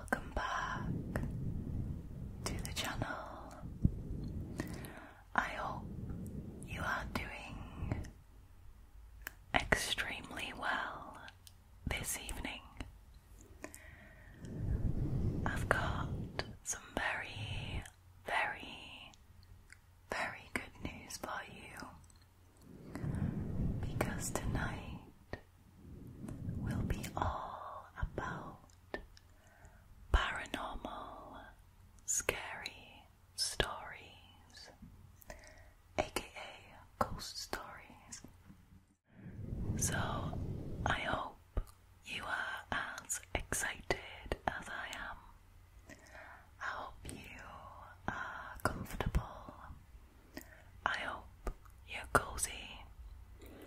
Welcome back to the channel. I hope you are doing extremely well this evening. I've got some very, very, very good news for you because tonight will be all about paranormal, scary stories, aka ghost stories. So, I hope you are as excited as I am. I hope you are comfortable. I hope you're cozy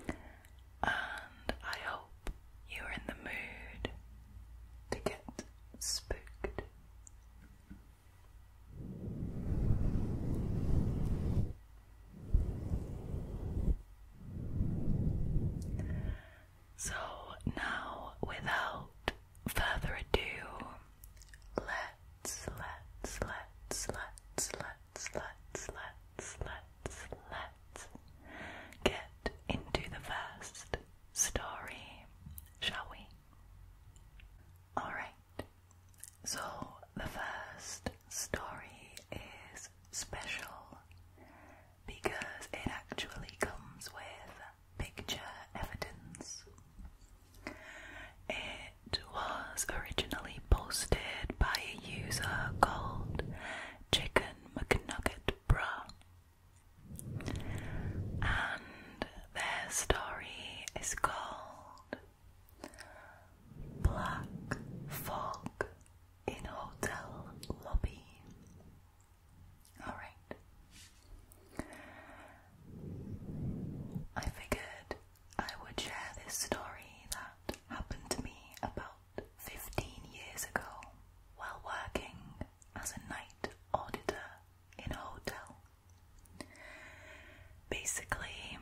and I hope you're in the mood to get spooked. So, now without further ado, let's, let's, let's, let's, let's, let's, let's, let's, let's, get into the first story, shall we? Alright, so the first story is special because it actually comes with picture evidence. It it was originally posted by a user called Chicken McNugget Bruh. And their story is called Black Fog in Hotel Lobby. Alright. I figured I would share this story that happened to me about 15 years ago while working as a night auditor in a hotel. Basically,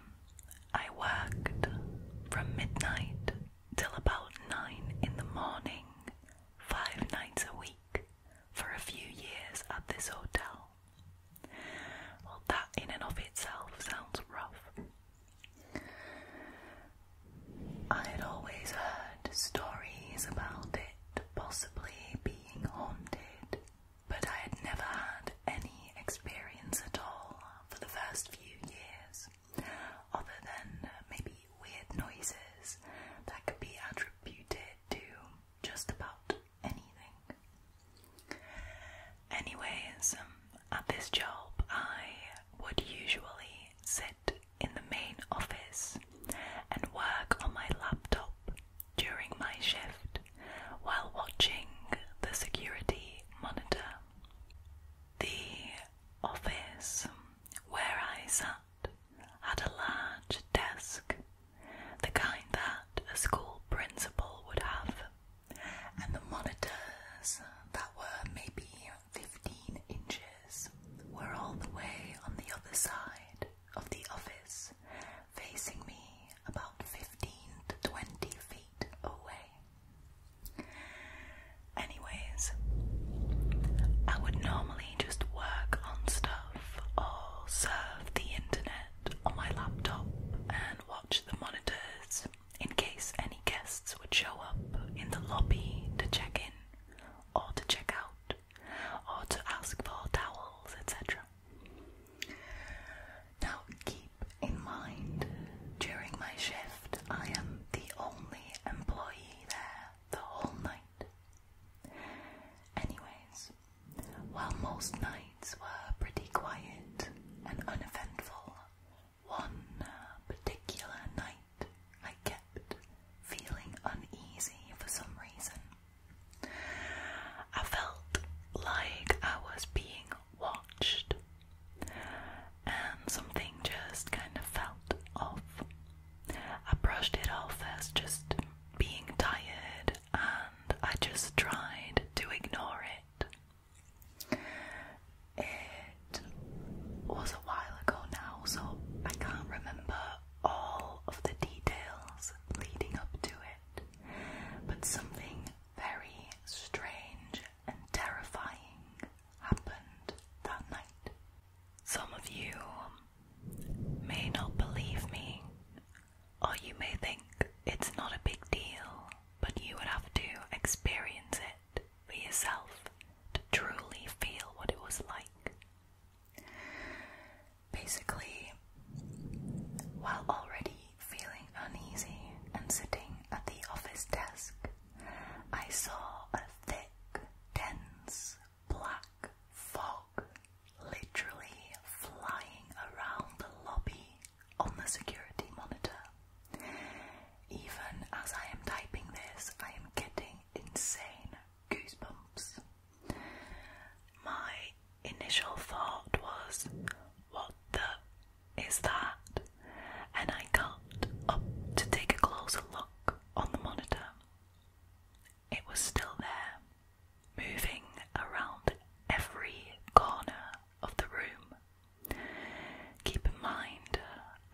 I worked from midnight till about 9 in the morning, five nights a week, for a few years at this hotel. Well, that in and of itself sounds rough, I'd always heard stories about it possibly being haunted, but I had never had any experience at all for the first few years, other than maybe weird noises that could be attributed to just about anything. Anyways, um, at this job, I would usually sit in the main office and work on my laptop during my shift while watching the security monitor. The office where I sat had a large desk, the kind that a school principal would have and the monitors that were maybe 15 inches were all the way on the other side of the office, facing me about 15 to 20 feet away. Anyways, I would normally just work on stuff or surf the internet on my laptop and watch the monitors in case any guests would show up in the lobby to check in, or to check out, or to ask for towels, etc. Now, keep in mind, during my shift, I am the only employee there the whole night. Anyways, while most nights were pretty quiet and uneventful, one particular night, I kept feeling uneasy for some reason. I felt like I was being watched, and something just kind of felt off. I brushed it off as just being tired, and I just tried to ignore it. It was a while ago now, so I can't remember all of the details leading up to it, but something very strange and terrifying happened that night. Some of you may not believe me, or you may think it's not a big deal but you would have to experience it for yourself to truly feel what it was like. Basically, while already feeling uneasy and sitting at the office desk, I saw a thick, dense, black fog literally flying around the lobby on the security monitor. Even as I am typing this, I am getting insane goosebumps. My initial thought was, What the is that? And I got up to take a closer look on the monitor. It was still there, moving around every corner of the room. Keep in mind,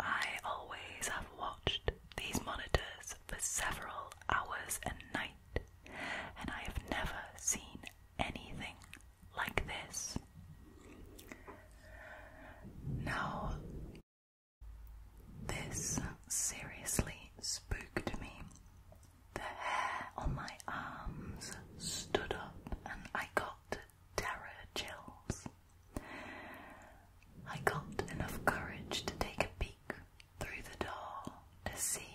I always have watched these monitors for several hours a night, and I have never seen anything like this. Now, this seriously spooked me. The hair on my arms stood up, and I got terror chills. I got enough courage to take a peek through the door to see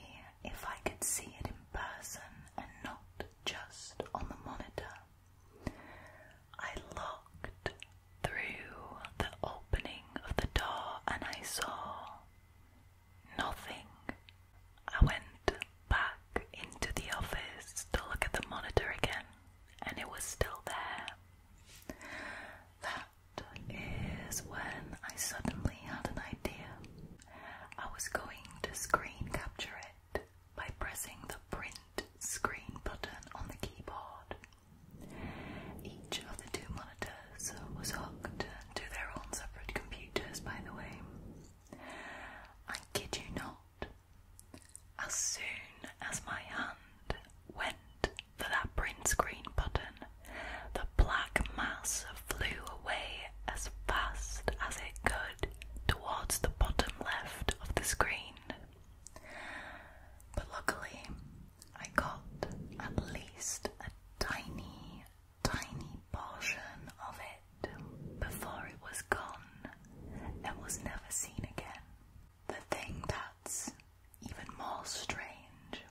if I could see it in person and not just on the monitor. I looked through the opening of the door and I saw nothing I went back into the office to look at the monitor again, and it was still there. That is when I suddenly had an idea. I was going to screen capture it by pressing the print screen button on the keyboard. Each of the two monitors was hooked to their own separate computers, by the way. I kid you not, as soon as my hand went for that print screen button, the black mass flew away as fast as it could towards the bottom left of the screen. But luckily, I got at least a tiny, tiny portion of it it before it was gone and was never seen again. The thing that's even more strange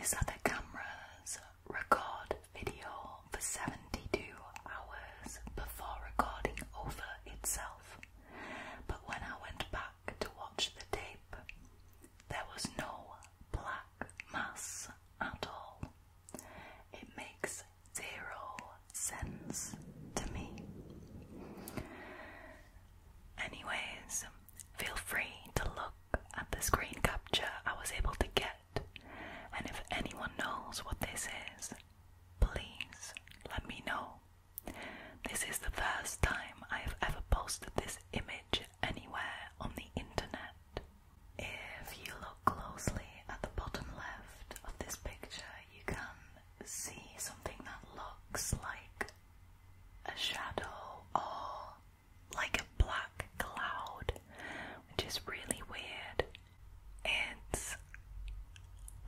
is that the cameras record video for 72 hours before recording over itself. But when I went back to watch the tape, there was no black mass at all. It makes zero sense to me. Anyways, feel free to look at the screen capture I was able to get, and if anyone knows what this is, please let me know. This is the first time I have ever posted this image anywhere on the internet. If you look closely at the bottom left of this picture, you can see something that looks like a shadow or like a black cloud, which is really weird. It's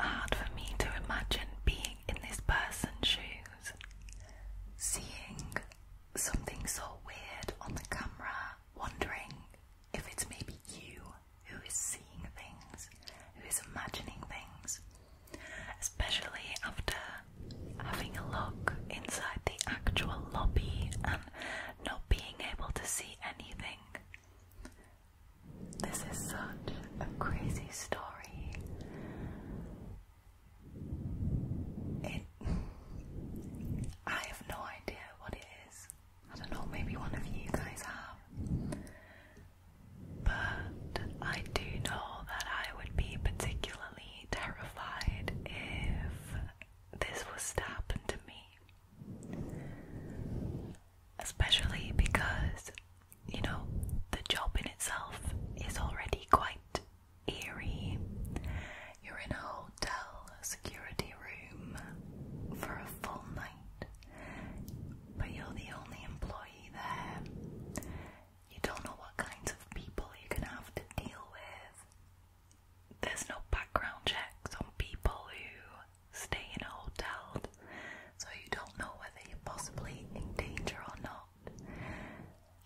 hard for me to imagine being in this person's shoes, seeing something so weird on the camera, wondering if it's maybe you who is seeing things, who is imagining things, especially after having a look inside the actual lobby and not being able to see anything. This is such a crazy story. It I have no idea what it is. I don't know, maybe one of you guys have. But I do know that I would be particularly terrified if this was to happen to me. Especially because, you know, the job in itself is already quite eerie. You're in a hotel security room for a full night, but you're the only employee there. You don't know what kinds of people you're gonna have to deal with. There's no background checks on people who stay in a hotel, so you don't know whether you're possibly in danger or not.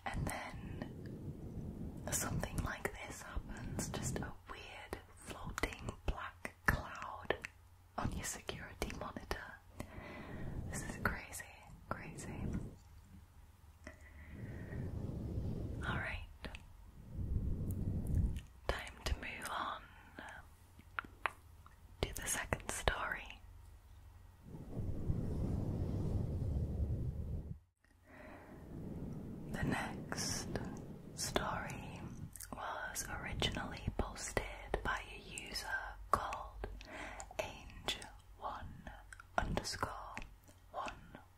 And then something like this happens just a weird floating black cloud on your security monitor. This is crazy, crazy. Alright, time to move on to the second story. The next story was originally posted by a user called Angel one underscore one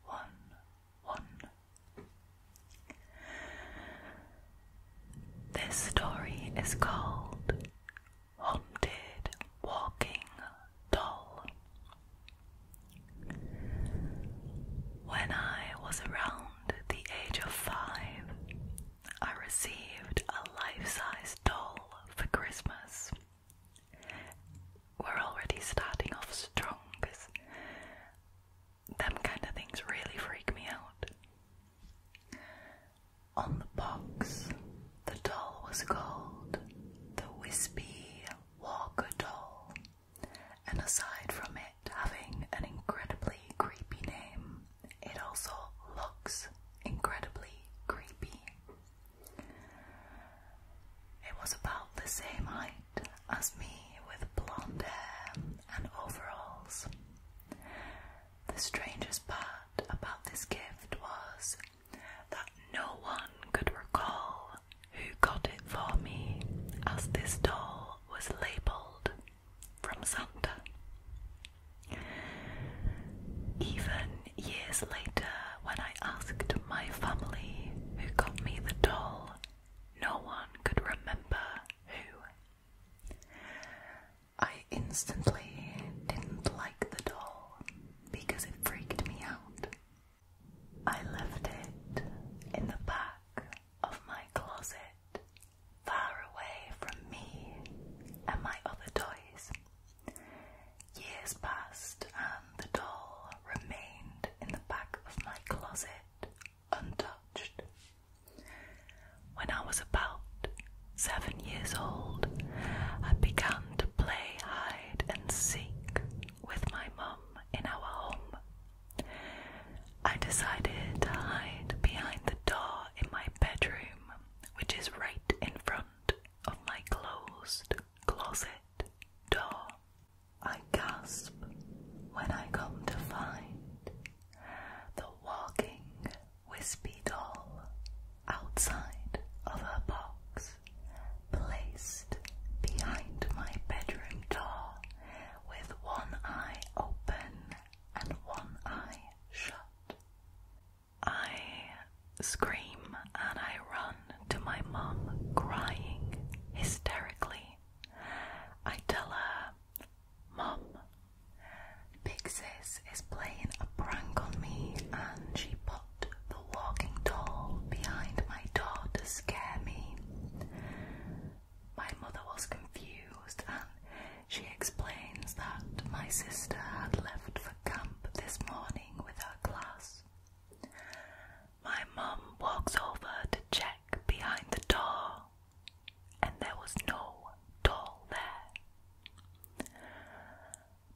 one one. This story is called Haunted Walking Doll. When I was around around the age of five, I received a life size doll for Christmas. We're already starting off strong because them kind of things really freak me out. On the box, the doll was called the Wispy Walker Doll. And aside from it having an incredibly creepy name, it also looks incredibly creepy. It was about the same height as me with blonde hair and overalls. The strangest part about this gift was that no one could recall who got it for me, as this doll was labeled from Santa. Even years later, when I asked my family who got me the doll, no one could remember who. I instantly didn't like the doll because it freaked me out. I left it in the back of my closet, far away from me and my other toys. Years passed, and the doll remained in the back of my closet, untouched. When I was about seven years old, I began to play hide and seek with my mum in our home I decided to hide behind the door in my bedroom, which is right in front of my closed closet door. I gasp when I come to find the walking wispy doll outside of a box placed behind my bedroom door with one eye open and one eye shut. I scream and I run to my mum, crying hysterically. I tell her, Mum, Big Sis is playing a prank on me and she put the walking doll behind my door to scare me. My mother was confused and she explains that my sister had left for camp this morning with her class. My mum walks over to check behind the door, and there was no doll there.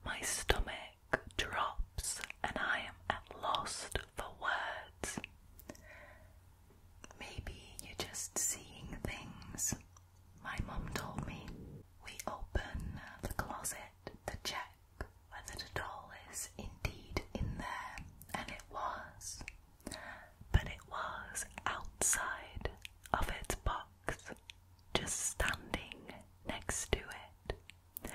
My stomach drops, and I am at loss for words. Maybe you're just seeing things. My mom told me we open the closet to check whether the doll is indeed in there, and it was, but it was outside of its box, just standing next to it.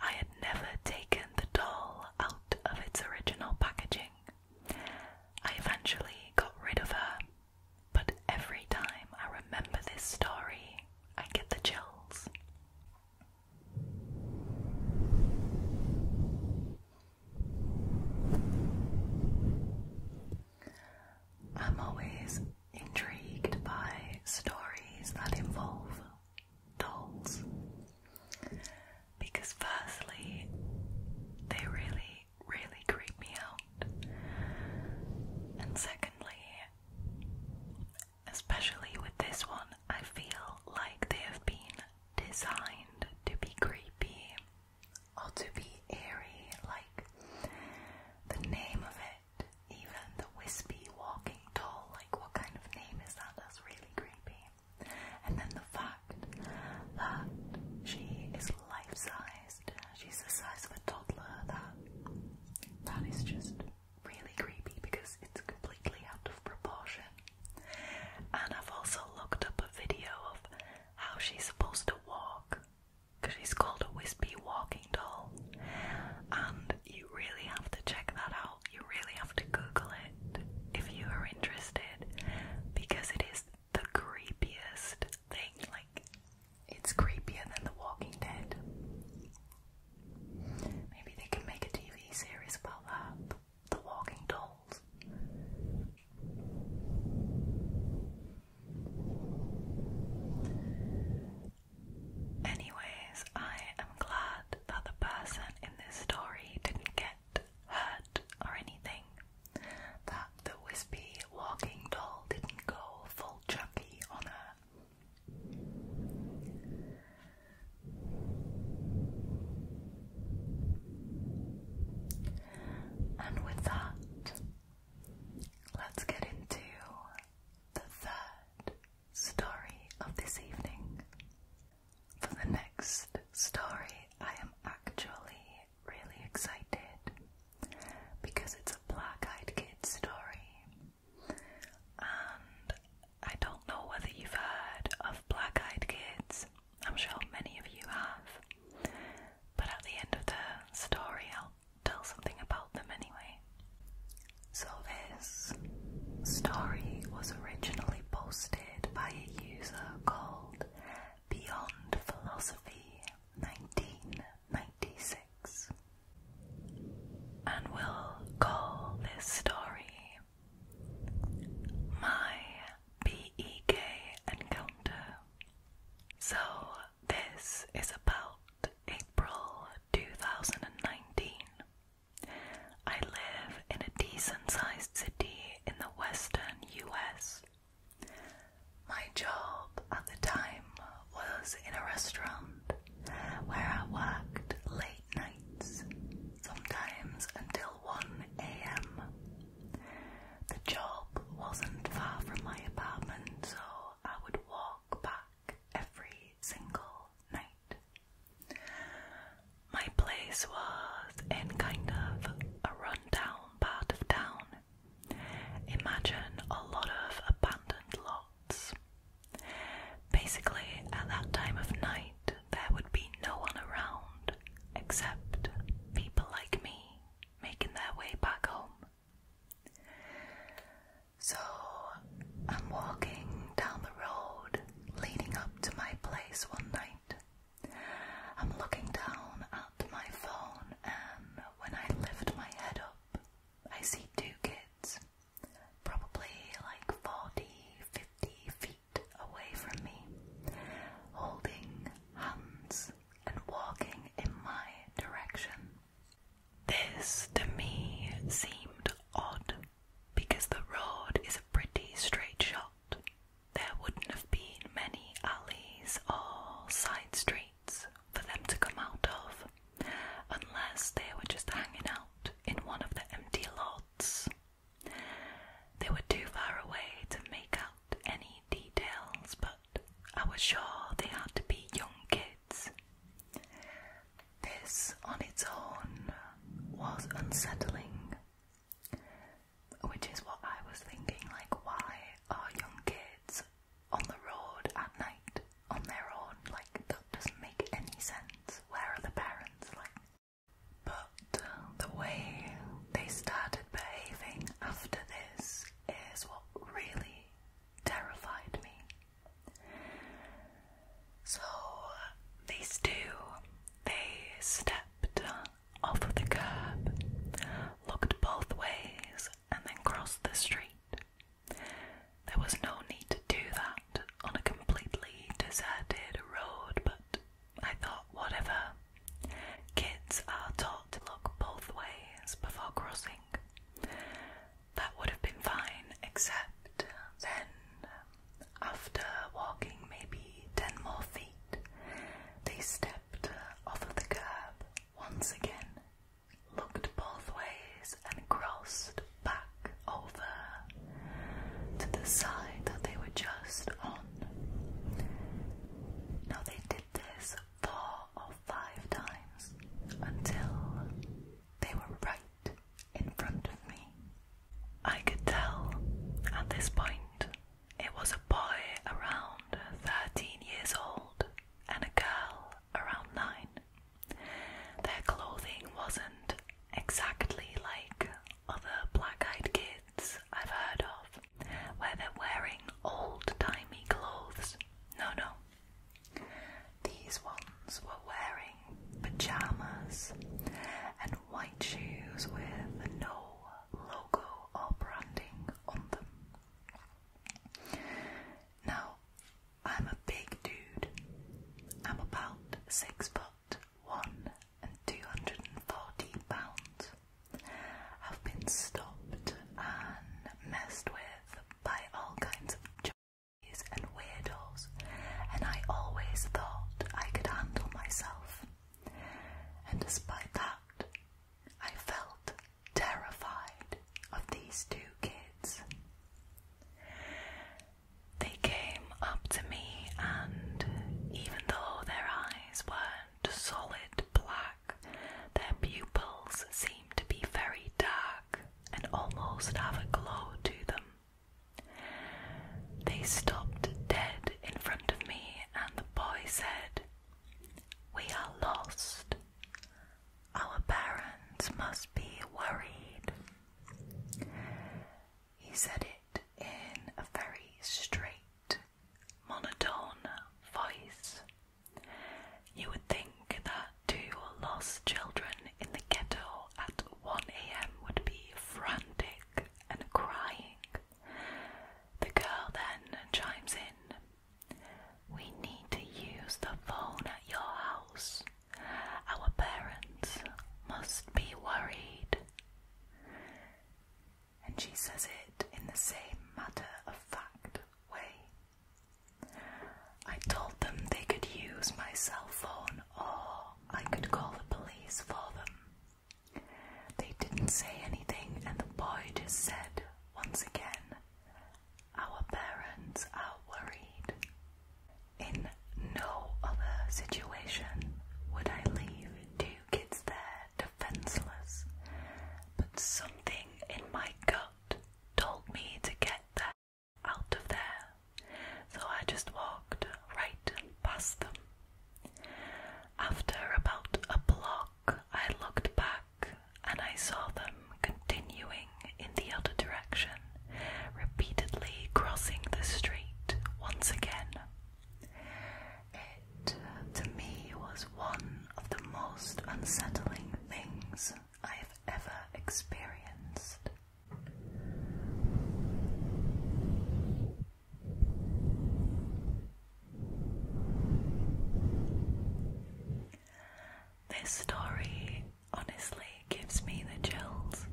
I had never taken the doll out of its original packaging, I eventually got rid of her, but every time I remember this story, I get the chills. I'm always intrigued by stories that involve dolls because, firstly, they really, really creep me out. And secondly, especially with this one, I feel like they have been designed to be creepy or to be eerie. Like the name of it, even the wispy walking doll, like what kind of name is that? That's really creepy. And then the fact that she is life-sized, she's the size of a toddler, that that is just really creepy because it's completely out of proportion. And I've also looked up a video of how she's supposed to walk, because she's called a wispy walking doll. And you really have to check that out you really have to Google it if you are interested because it is the creepiest thing. Like, it's creepier than The Walking Dead. Maybe they can make a TV series about that. The Walking Dolls. Anyways, I am glad that the person in this story didn't get hurt or anything. That the wispy walking doll didn't go full chucky on her. And with that, let's get into the third story of this evening for the next story, I am actually really excited because it's a black eyed kid story. And I don't know whether you've heard of black eyed kids, I'm sure many of you have, but at the end of the story, I'll tell something about them anyway. So, this story was originally posted by a user called Beyond Philosophy 1996. And we'll call this story My BEK Encounter. So, this is about April 2019. I live in a decent sized city in the western US. My job at the time was in a restaurant where I worked late nights, sometimes until 1 am. The job wasn't far from my apartment, so I would walk back every single night. My place was in kind of a rundown part of town. Imagine a lot of abandoned lots. Basically, at that time of night, there would be no one around except people like me making their way back home. So I'm walking down the road leading up to my place one night, I'm looking down at my phone, and when I lift my head up, I see two kids, probably like 40, 50 feet away from me, holding hands and walking in my direction. This to me seemed odd because the road is a pretty straight shot there wouldn't have been many alleys or side streets for them to come out of unless they were just hanging out in one of the empty lots. They were too far away to make out any details, but I was sure they had to be young kids. This on its own was unsettling, which is what I was thinking, like, why are young kids on the road at night on their own? Like, that doesn't make any sense. Where are the parents? Like, but the way they started behaving after this is what really terrified me. So, these two, they stepped off the curb, looked both ways, and then crossed the street. There was no need to do that on a completely deserted road, but I thought, whatever. Kids are taught to look both ways before crossing. That would have been fine, except then after walking maybe ten more feet, they stepped off of the curb once again, looked both ways, and crossed back over to the side that they were just on. Now they did this four or five times until they were right in front of me. I could tell at this point it was a boy around 13 years old and a girl around 9. Their clothing wasn't exactly like other black eyed kids I've heard of, where they're wearing old timey clothes. No, no. These ones were wearing pajamas and white shoes with no logo or branding on them. Now, I'm a big dude. I'm about six foot one and 240 pounds. I've been stopped and messed with by all kinds of junkies and weirdos, and I always thought I could handle myself and despite that, I felt terrified of these two kids. They came up to me, and even though their eyes weren't solid black, their pupils seemed to be very dark and almost have a glow to them. They stopped dead in front of me, and the boy said, We are lost. Our parents must be worried. He said it in a very straight, monotone voice. You would think that two lost children in the ghetto at 1 am would be frantic and crying, the girl then chimes in We need to use the phone at your house. Our parents must be worried. And she says it in the same matter of fact way. I told them they could use my cell phone or I could call the police for them. They didn't say anything, and the boy just said once again, Our parents are worried. In no other situation would I leave two kids there defenseless, but something in my gut told me to get them out of there, so I just walked right past them. After about a block, I looked back and I saw them continuing in the other direction, repeatedly crossing the street once again. It, to me, was one of the most unsettling things I've ever experienced. This story honestly gives me the chills.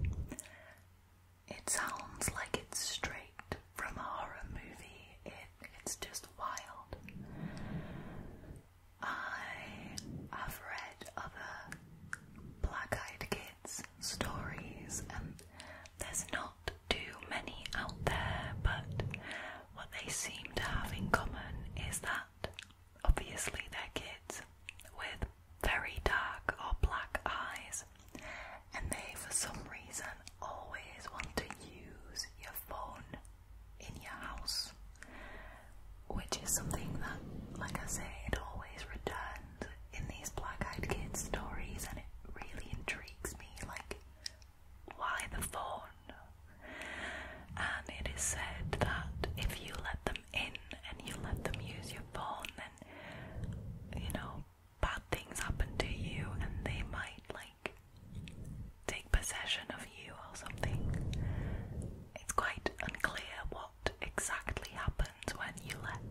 It sounds like it's straight from a horror movie. it's just wild. I have read other black eyed kids stories, and there's not too many out there, but what they seem to have in common is that obviously they're kids with very dark or black eyes, and they for some reason always want to use your phone in your house, which is something that, like I say, it always returns in these black eyed kid stories, and it really intrigues me like, why the phone? And it is said that if you let them in and you let them use your phone, then you know, bad things happen to you, and they might like take possession of you or something. It's quite unclear what exactly happens when you let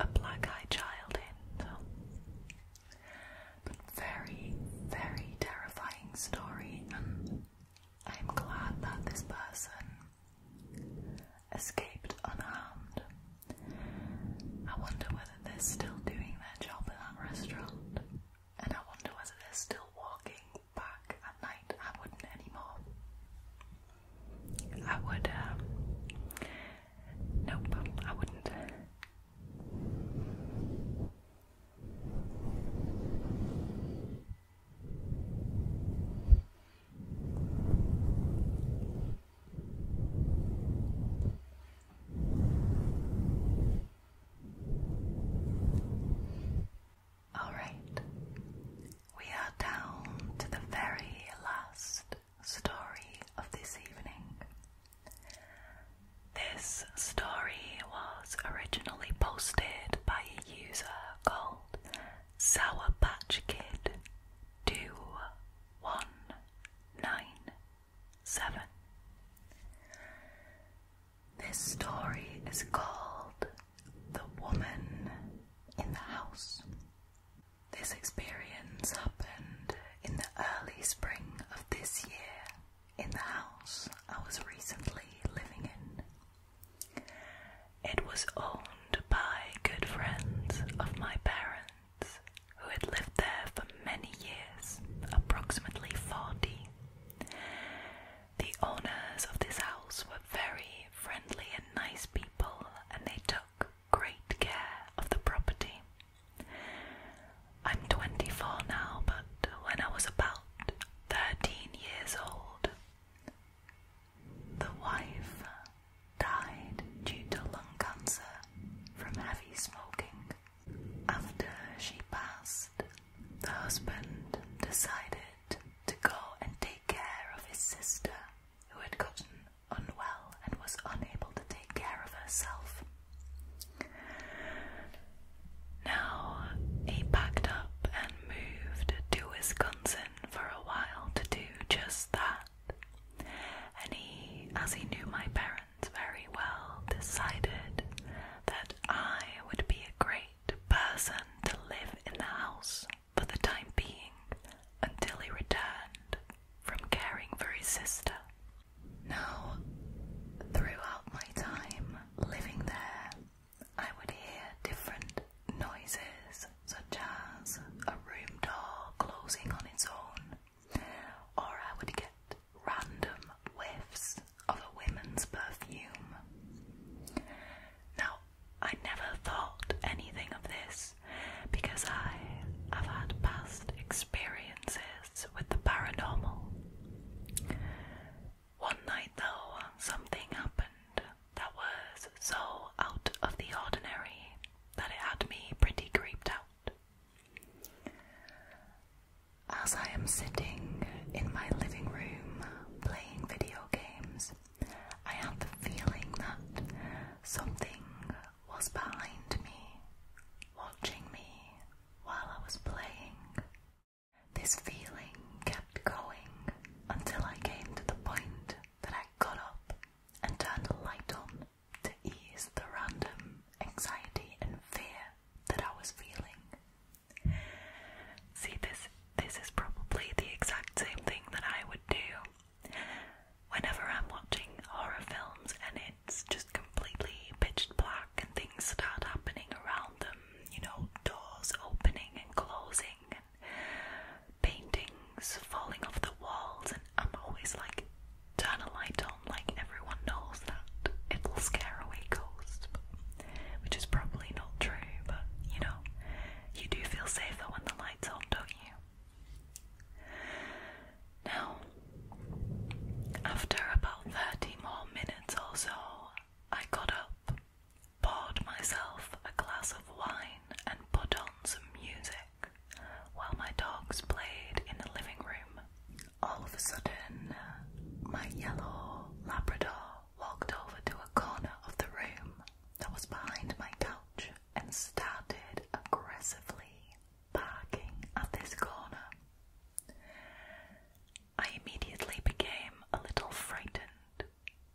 a black eyed child in. but very, very terrifying story, and I'm glad that this person escaped unharmed. I wonder whether they're still doing their job at that restaurant, and I wonder whether they're still walking back at night. I wouldn't anymore. I would, um, nope, I wouldn't. All right, we are down to the very last story of this evening. This story was originally posted by a user called Sour Patch Kid 2197. This story is called The Woman in the House. This experience happened in the early spring of this year in the house I was recently living in. It was owned by good friends of my parents who had lived there for many years, approximately 40. The owners of this house were very friendly and nice people, and they took great care of the property. I'm 24 now, but when I was about 13 years old, the wife died due to lung cancer from heavy smoking. After she passed, the husband decided to go and take care of his sister who had gotten unwell and was unable to take care of herself. Now he packed up and moved to Wisconsin for a while to do just that. And he, as he knew my parents very well, decided that I would be a great person to live in the house for the time being until he returned from caring for his sister. Now, throughout my time living there, I would hear different noises, such as a room door closing on its own, or I would get random whiffs of a woman's perfume. Now, I never thought anything of this because I have had past experiences with the paranormal. One night, though, something happened that was so out of the ordinary that it had me pretty creeped out. As I am sitting in my living room playing video games, I have the feeling that something was behind me, watching me while I was playing. This feeling kept going until I came to the point that I got up and turned the light on to ease the random anxiety and fear that I was feeling. See, this this is probably the exact same thing that I would do Whenever I'm watching horror films and it's just completely pitch black and things start happening around them, you know, doors opening and closing and paintings falling off the walls, and I'm always like, turn a light on, like everyone knows that it'll scare away ghosts, but, which is probably not true, but you know, you do feel safer when the light's on, don't you? Now, after about 30 more minutes or so, I got up, poured myself a glass of wine, and put on some music while my dogs played in the living room. All of a sudden, my yellow Labrador walked over to a corner of the room that was behind my couch and started aggressively barking at this corner. I immediately became a little frightened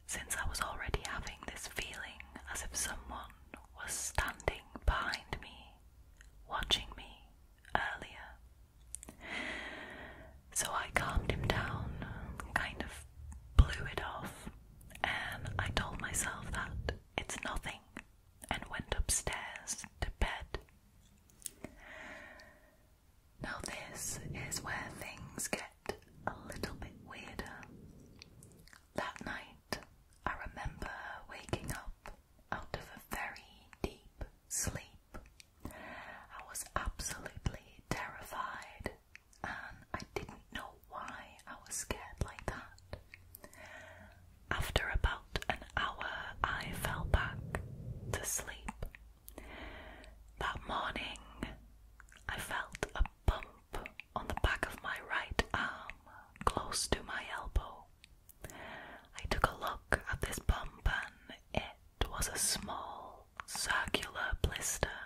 since I was already having this feeling as if someone was standing behind me, watching me earlier. So I calmed him down, kind of blew it off, and I told myself that it's nothing and went upstairs to bed. Now, this is where things get a little bit weirder. That night, I remember waking up out of a very deep sleep. I was absolutely terrified and I didn't know why I was scared like that. After about an hour, I fell back to sleep. That morning, I felt a bump on the back of my right arm close to my elbow. I took a look at this bump and it was a small circular blister,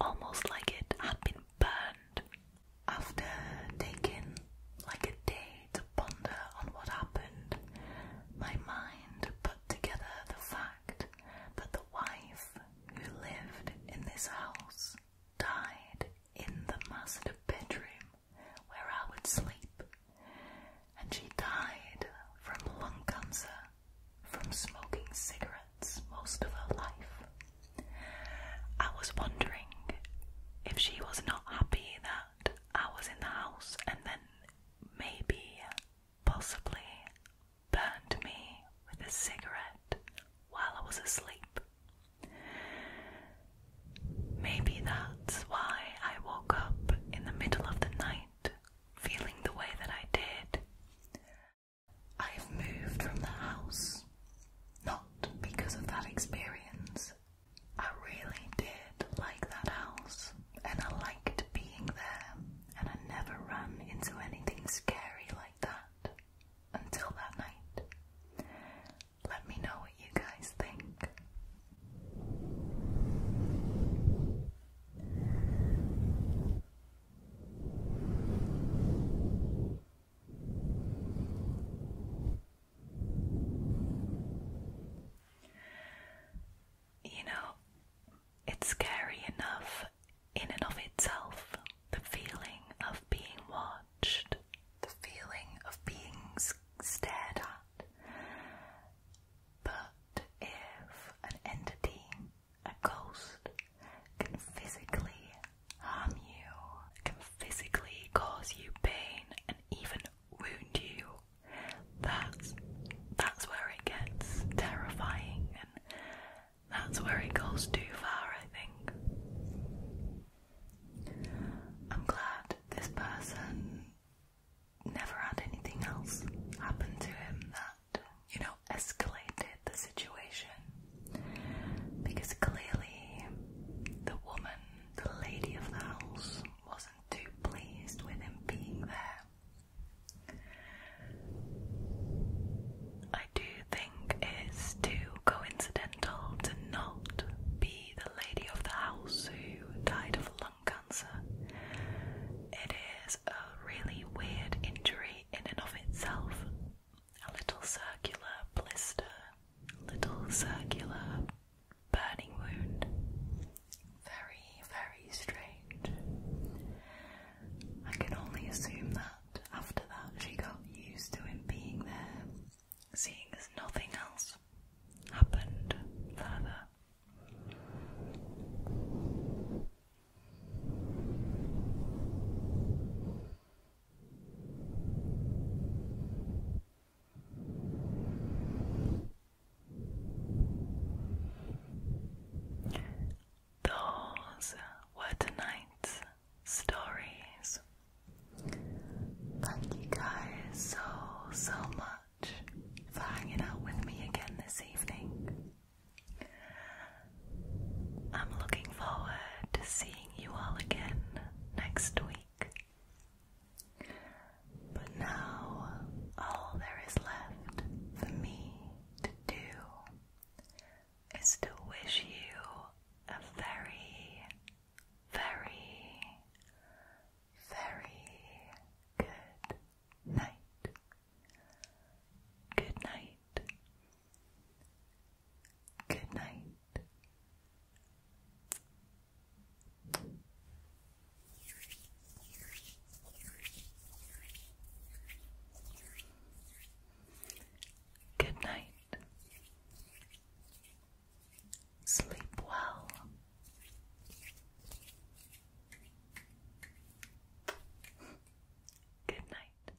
almost like it had been burned. After taking like a day to ponder on what happened, my mind put together the fact that the wife who lived in this house died in the master bedroom where I would sleep, and she died from lung cancer from smoking cigarettes most of her life. I was wondering if she was not happy that I was in the house and then maybe, possibly, burned me with a cigarette while I was asleep. Maybe that's why I woke up in the middle of the night feeling the way that I did. I have moved from the house, not because of that experience. I really did like that house, and I liked being there, and I never ran into anything scary like that until that night. Let me know what you guys think. You know, it's scary enough in and of itself, the feeling of being watched, the feeling of being stared at. But if an entity, a ghost, can physically harm you, can physically cause you pain and even wound you. That's that's where it gets terrifying and that's where it goes too far, I think. I'm glad this person never had anything else happen to him that, you know, escalated the situation because clearly the woman, the lady of the house, wasn't too pleased with him being there. I do think it's too coincidental to not be the lady of the house who died of lung cancer. It is a really weird injury in and of itself a little circular blister, little circular burning wound. Very, very strange. I can only assume that after that she got used to him being there, seeing as nothing else happened further. Those were tonight's stories. Thank you guys so, so much for hanging out with me again this evening. I'm looking forward to seeing you all again next week. But now, all there is left for me to do is to wish you a very, very, very good night. Good night. Good night. Good night. Sleep well. Good night.